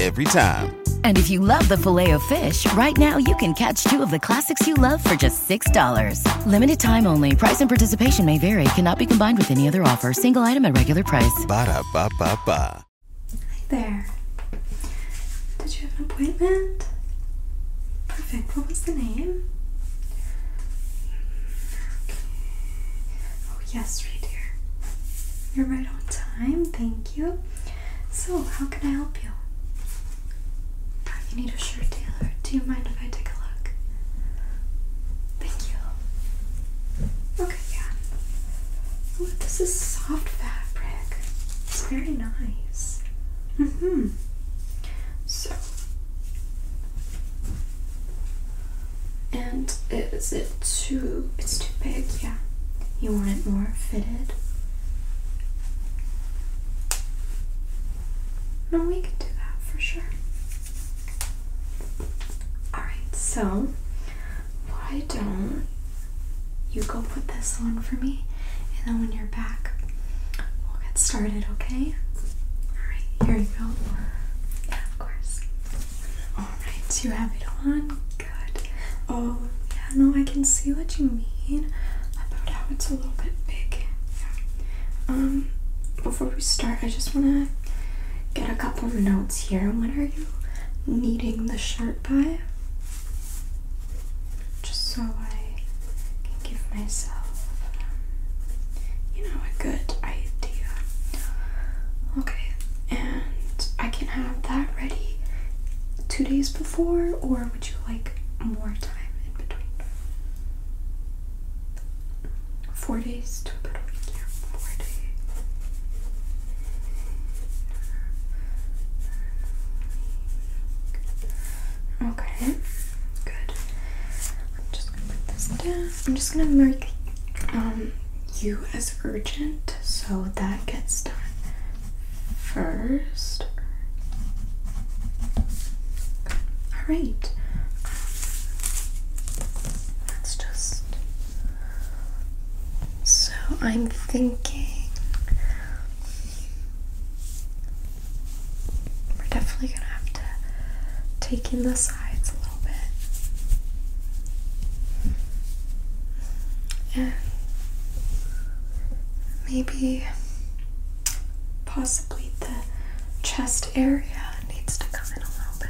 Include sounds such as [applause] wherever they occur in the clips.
every time. And if you love the filet of fish, right now you can catch two of the classics you love for just $6. Limited time only. Price and participation may vary. Cannot be combined with any other offer. Single item at regular price. Ba da ba ba ba. Hi there. Did you have an appointment? Perfect. What was the name? Okay. Oh, yes, right here. You're right on time. Thank you. So, how can I help you? Oh, you need a shirt, Taylor. Do you mind if I take a look? Thank you. Okay, yeah. this is soft fabric. It's very nice. hmm So, and is it too? It's too big. Yeah. You want it more fitted? No, we can do that for sure. Alright, so why don't you go put this on for me and then when you're back, we'll get started, okay? Alright, here you go. Yeah, of course. Alright, you have it on. Good. Oh, yeah, no, I can see what you mean about how it's a little bit big. Um, before we start, I just wanna get a couple notes here. When are you needing the shirt by? Just so I can give myself, um, you know, a good idea. Okay, and I can have that ready two days before, or would you like more time in between? Four days to about a week, yeah. Four days. Okay, good. I'm just gonna put this down. I'm just gonna mark um, you as urgent so that gets done first. All right. Let's just. So I'm thinking we're definitely gonna have to take in the sides a little bit. And maybe possibly the chest area needs to come in a little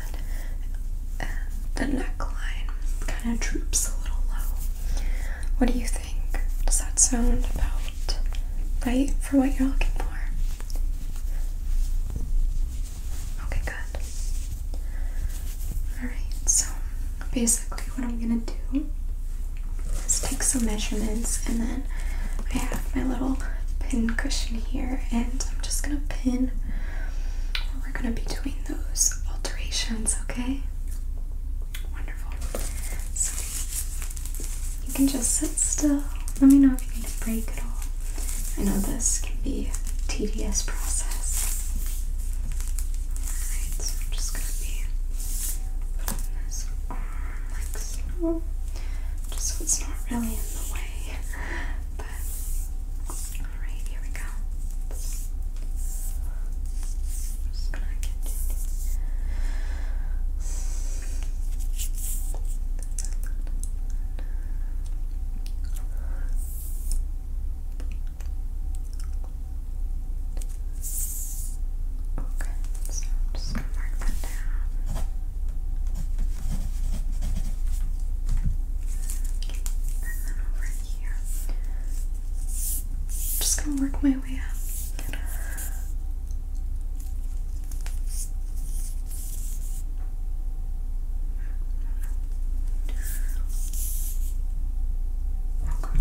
bit. the neckline kind of droops a little low. What do you think? Does that sound about right for what you're looking for? Okay, good. Alright, so basically, what I'm gonna do is take some measurements, and then I have my little pin cushion here, and I'm just gonna pin where we're gonna be doing those alterations, okay? Wonderful. So you can just sit still. Let me know if you need a break at all. I know this can be a tedious process. Alright, so I'm just gonna be Putting this on like so. Just so it's not really in the way. But alright, here we go. just gonna get it. Okay, so I'm just gonna mark that down. and then over here. I'm just gonna work my way up. Okay.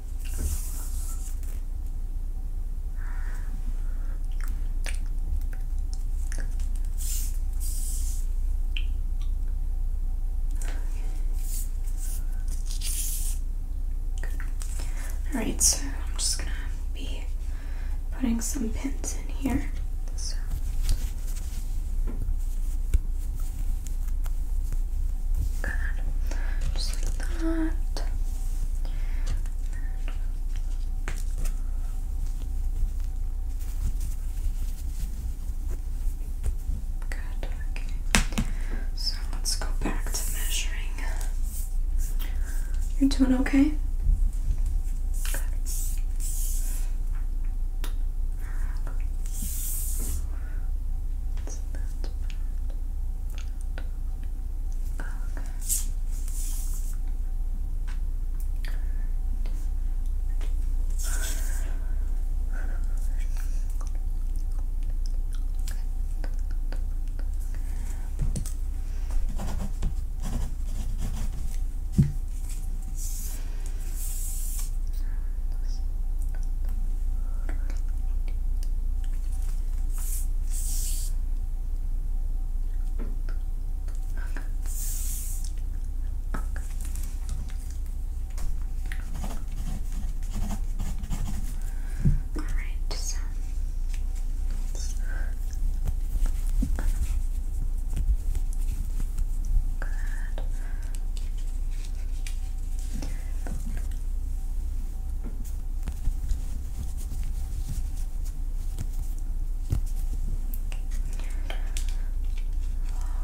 All right, so I'm just gonna be putting some pins in here. So. Good. Just like that. Good. Okay. So let's go back to measuring. You're doing okay that's that's Okay. All right, so good.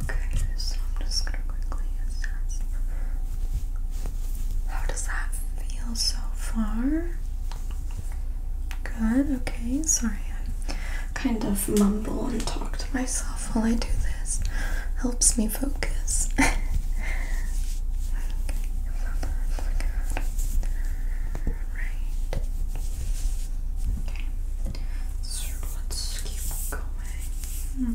Okay, so I'm just gonna quickly assess. How does that feel so far? Good, okay, sorry, I kind of mumble and talk to myself while I do this. Helps me focus. [laughs] Right. Okay. So let's keep going. Hmm.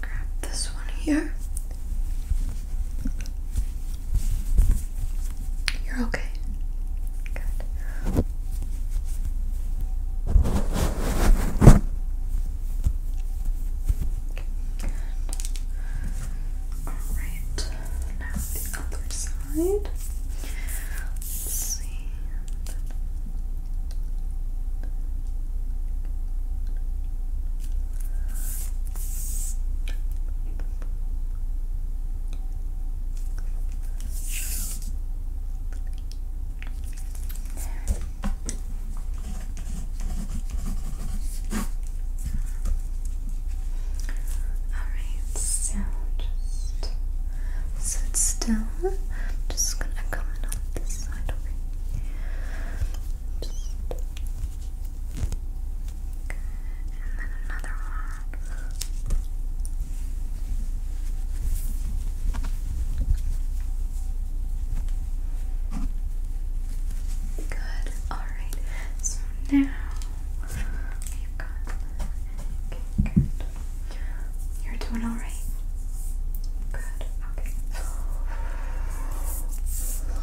grab this one here. You're okay. Good. Alright, now the other side. Let's see. Alright, so just sit still. just gonna come in on this side, okay? good. And then another one. Good. Alright. So now we've got okay, good. You're doing alright? Good, okay. Let's see. Okay.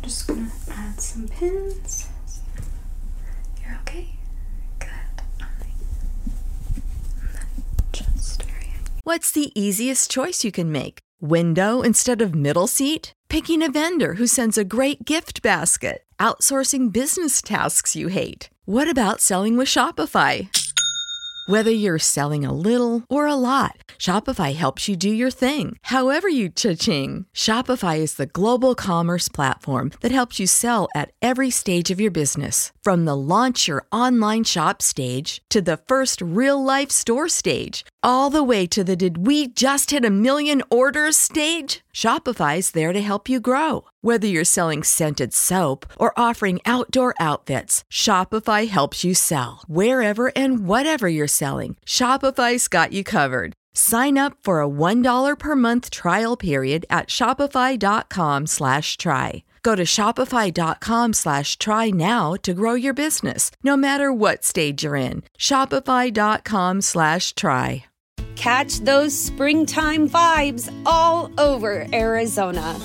I'm just gonna add some pins. You're okay? Good. Alright. What's the easiest choice you can make? Window instead of middle seat? picking a vendor who sends a great gift basket, outsourcing business tasks you hate. What about selling with Shopify? Whether you're selling a little or a lot, Shopify helps you do your thing, however you cha-ching. Shopify is the global commerce platform that helps you sell at every stage of your business. From the launch your online shop stage to the first real life store stage all the way to the did we just hit a million orders stage? Shopify is there to help you grow. Whether you're selling scented soap or offering outdoor outfits, Shopify helps you sell. Wherever and whatever you're selling, Shopify's got you covered. Sign up for a $1 per month trial period at shopify.com slash try. Go to shopify.com slash try now to grow your business no matter what stage you're in. Shopify.com slash try. Catch those springtime vibes all over Arizona.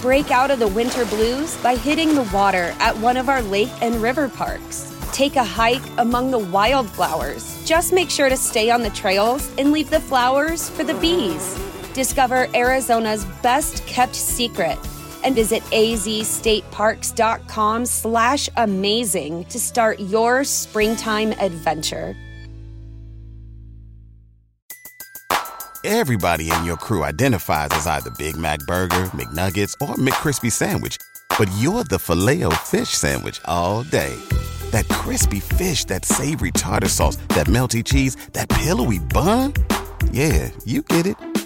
Break out of the winter blues by hitting the water at one of our lake and river parks. Take a hike among the wildflowers. Just make sure to stay on the trails and leave the flowers for the bees. Discover Arizona's best kept secret and visit AZ State stateparks.com slash amazing to start your springtime adventure. Everybody in your crew identifies as either Big Mac Burger, McNuggets, or McCrispy Sandwich, but you're the filet o fish Sandwich all day. That crispy fish, that savory tartar sauce, that melty cheese, that pillowy bun. Yeah, you get it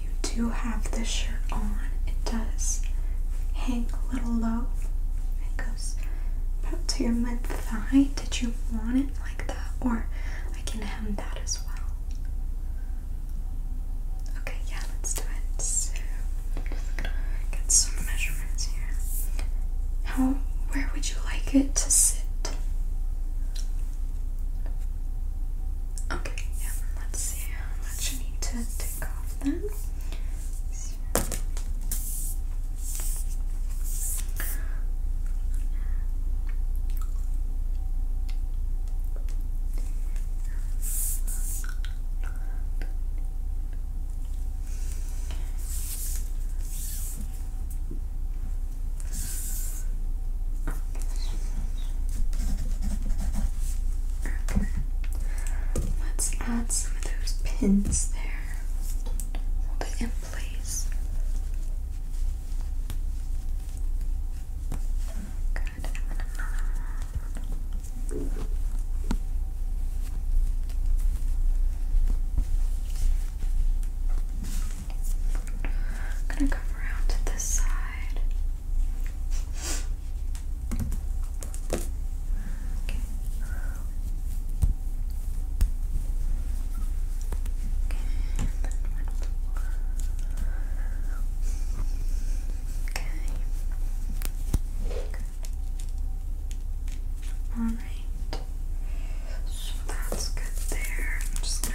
you do have the shirt on. It does hang a little low. It goes about to your mid thigh. Did you want it like that? Or I can hem that as well. Okay, yeah, let's do it. So, get some measurements here. How, where would you like it to sit? Okay, yeah, let's see how much you need to take off then. Let's add some of those pins there. Hold it in place. Good. I'm gonna come around to this side side. Okay. Okay, Okay. Alright. So that's good there. I'm just gonna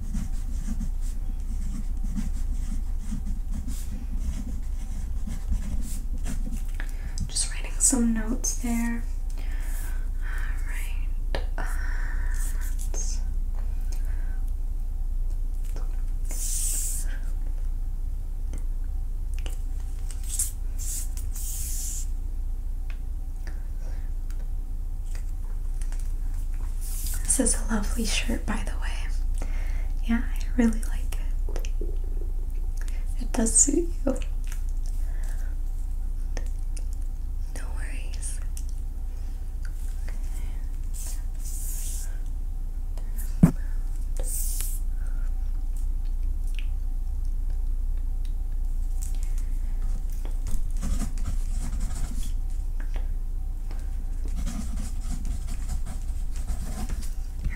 Just writing some notes there. Alright. Uh, this is a lovely shirt, by the way. Yeah, I really like it. It does suit you. No worries.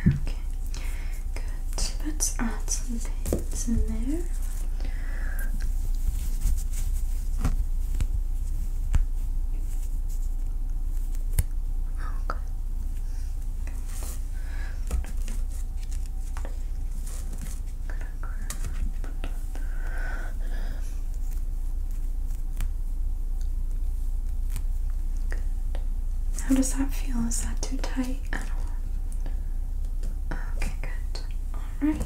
Okay, good. Let's add some paints in there. Okay. Good. How does that feel? Is that too tight Okay, good. Alright.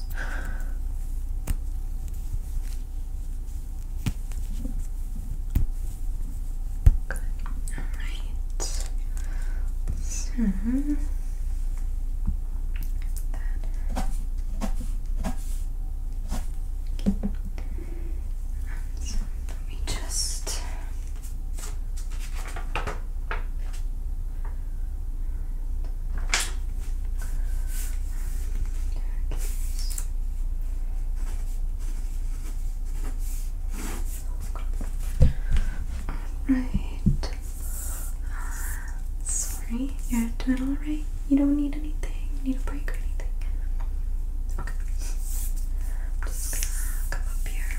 this. Good. So let me just. Alright. Sorry, you're doing alright. You don't need anything. You need a break or anything. Okay. just come up here.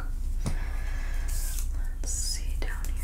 look. Let's see down here.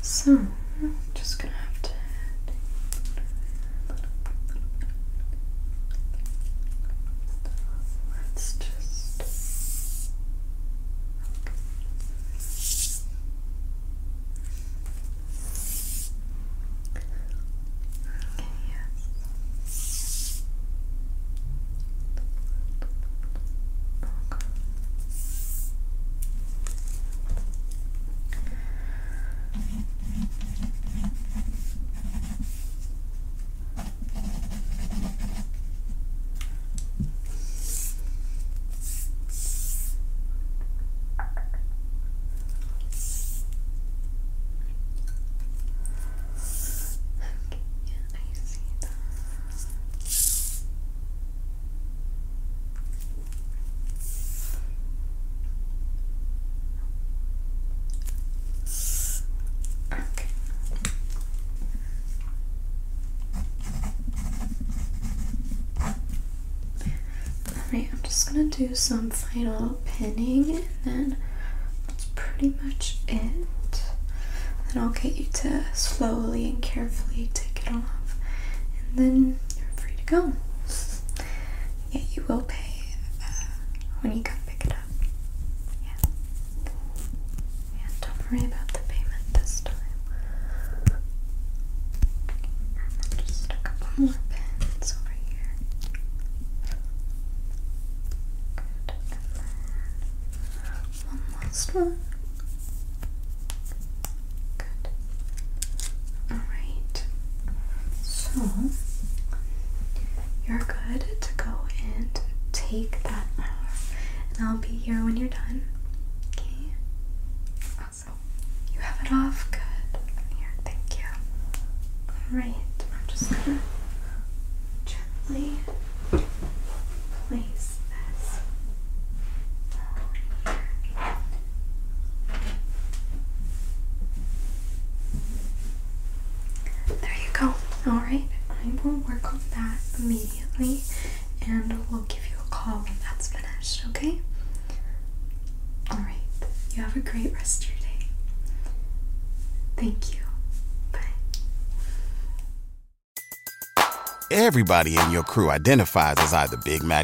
So just gonna have to let's just okay, yes. Okay. Okay, I see that. Okay. I'm just gonna do some final pinning and then that's pretty much it. Then I'll get you to slowly and carefully take it off and then you're free to go. Yeah, you will pay uh, when you come pick it up. Yeah. Yeah, don't worry about the payment this time. just a couple more pins over here. And one last one. Good. Alright. So you're good to go and take that off. And I'll be here when you're done. Okay? Awesome. You have it off? Good. Here, thank you. Alright. I'm just gonna gently place this there you go. Alright, I will work on that immediately and we'll give you a call when that's finished, okay? Alright, you have a great rest of your day. Thank you. Bye. Everybody in your crew identifies as either Big Mac.